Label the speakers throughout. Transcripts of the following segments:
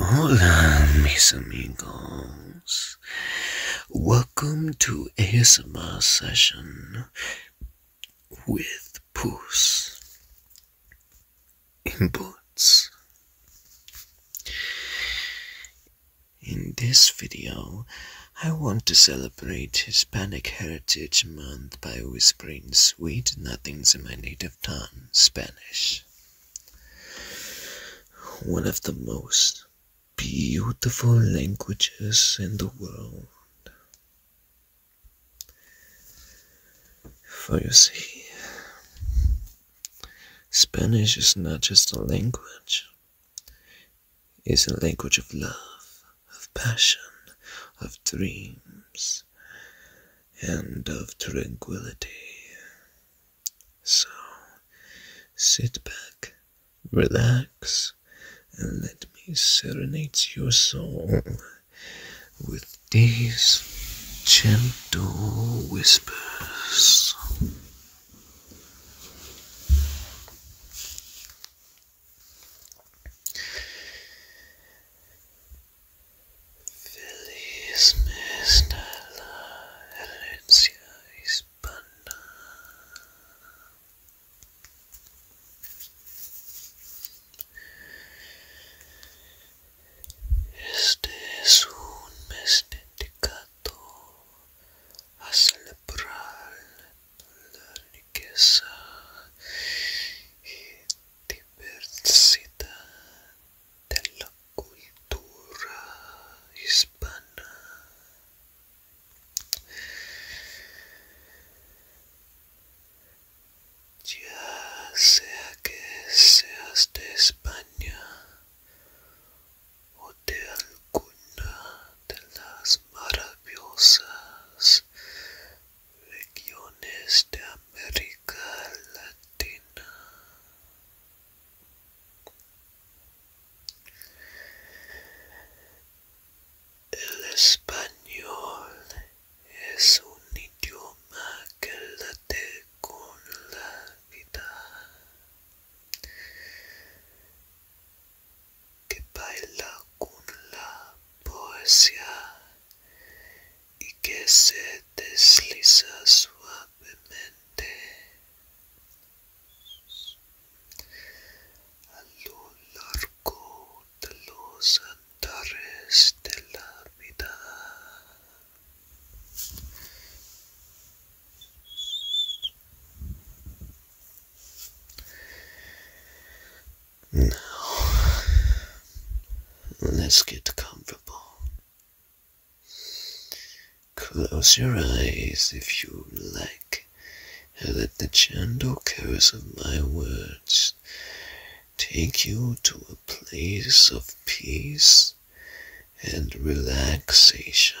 Speaker 1: Hola, mis amigos. Welcome to ASMR session with Puss Inputs. In this video, I want to celebrate Hispanic Heritage Month by whispering sweet nothings in my native tongue, Spanish one of the most beautiful languages in the world. For you see, Spanish is not just a language, it's a language of love, of passion, of dreams, and of tranquility. So sit back, relax, and let me serenade your soul with these gentle whispers. Feliz de la herencia hispana. Este es un mes dedicado a celebrar la riqueza diversidad de la cultura hispana. Ya sea que seas de España o de alguna de las maravillosas regiones de América Latina. El español es un idioma que late con la vida que baila con la poesía y que se desliza suavemente a lo largo de los andares de la vida. Now, let's get comfortable. Close your eyes if you like, and let the gentle curse of my words take you to a place of peace and relaxation.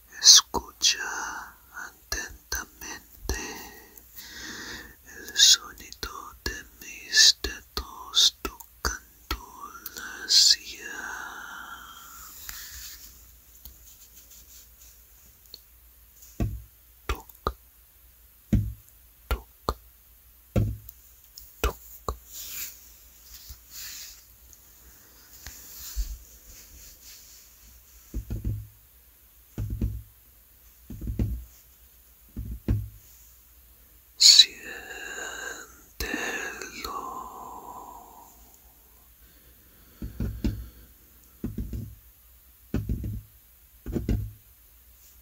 Speaker 1: Escucha atentamente el sonido de mis dedos tocando la silla. toc, toc. Siéntelo.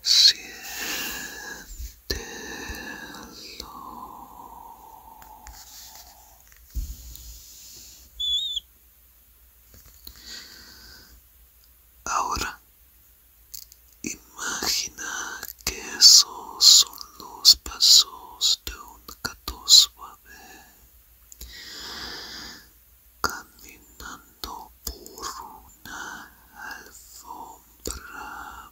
Speaker 1: Siéntelo. Ahora imagina que esos son los pasos de un gato suave caminando por una alfombra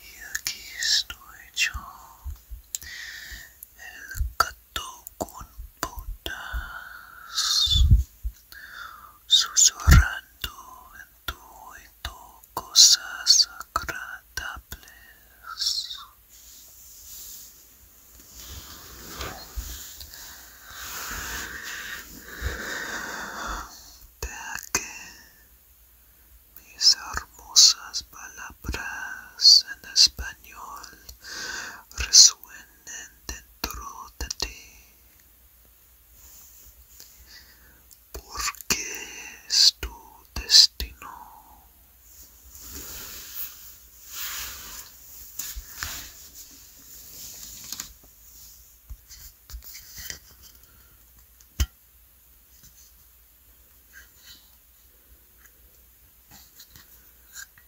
Speaker 1: Y aquí estoy yo, el gato con botas susurrando en tu oído cosas agradables. De que mis hermosas palabras en español resuenen dentro de ti ¿Por qué es tu destino.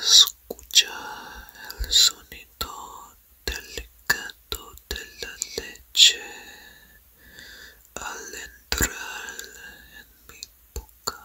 Speaker 1: Escucha el sonido delicado de la leche al entrar en mi boca.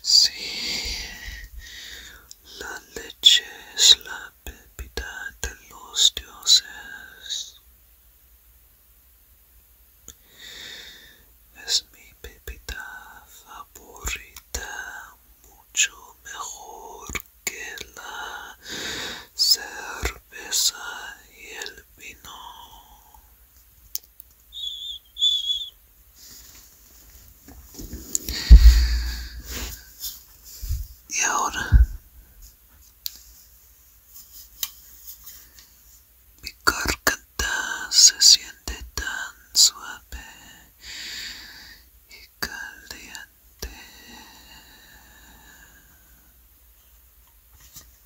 Speaker 1: Sí, la leche es la bebida de los dioses. Es mi bebida favorita, mucho mejor que la cerveza y el vino. Y ahora mi garganta se siente tan suave y caliente.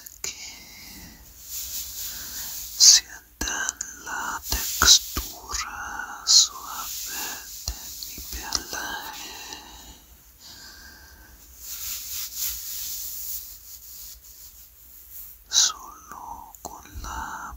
Speaker 1: Aquí sientan la textura suave de mi pelaje. Solo con la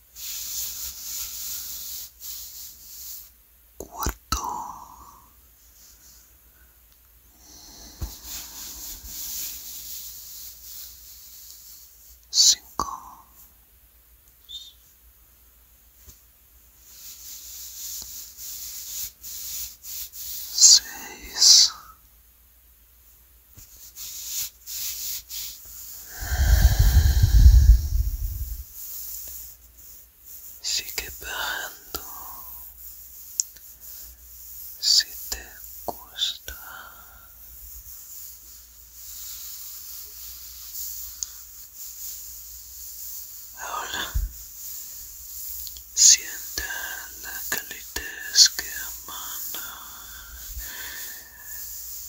Speaker 1: cuarto cinco seis Sigue bajando. Si te gusta. Ahora siente la calidez que emana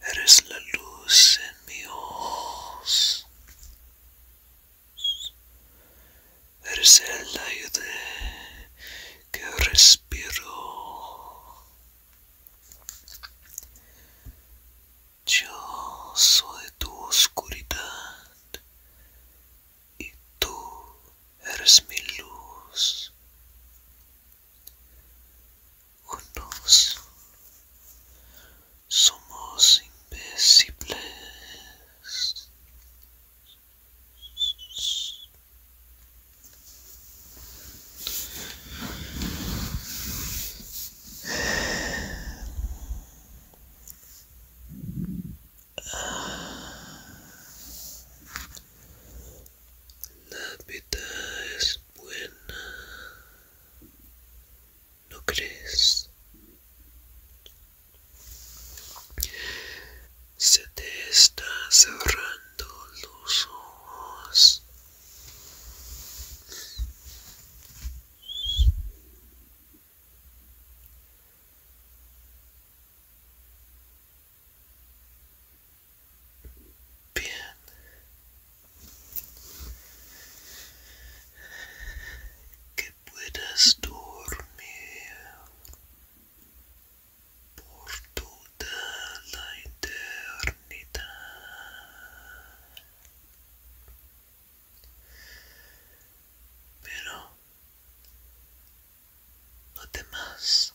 Speaker 1: Eres la luz en mi ojos. Eres el aire que respiro. Yo soy tu oscuridad y tú eres mi luz juntos somos invencibles. La vida es buena. ¿No crees? Se te están cerrando los ojos. Bien. Que puedas dormir por toda la eternidad. Pero no demás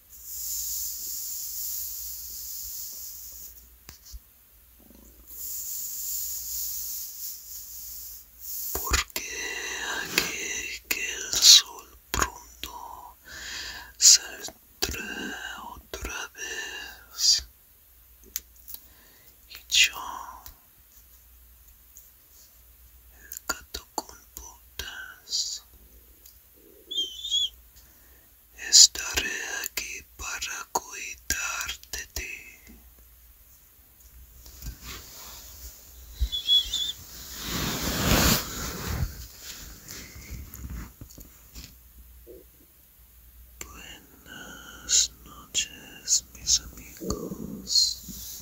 Speaker 1: Porque aquí que el sol pronto saldrá otra vez y yo el gato con putas. Estaré aquí para cuidarte de ti. Buenas noches mis amigos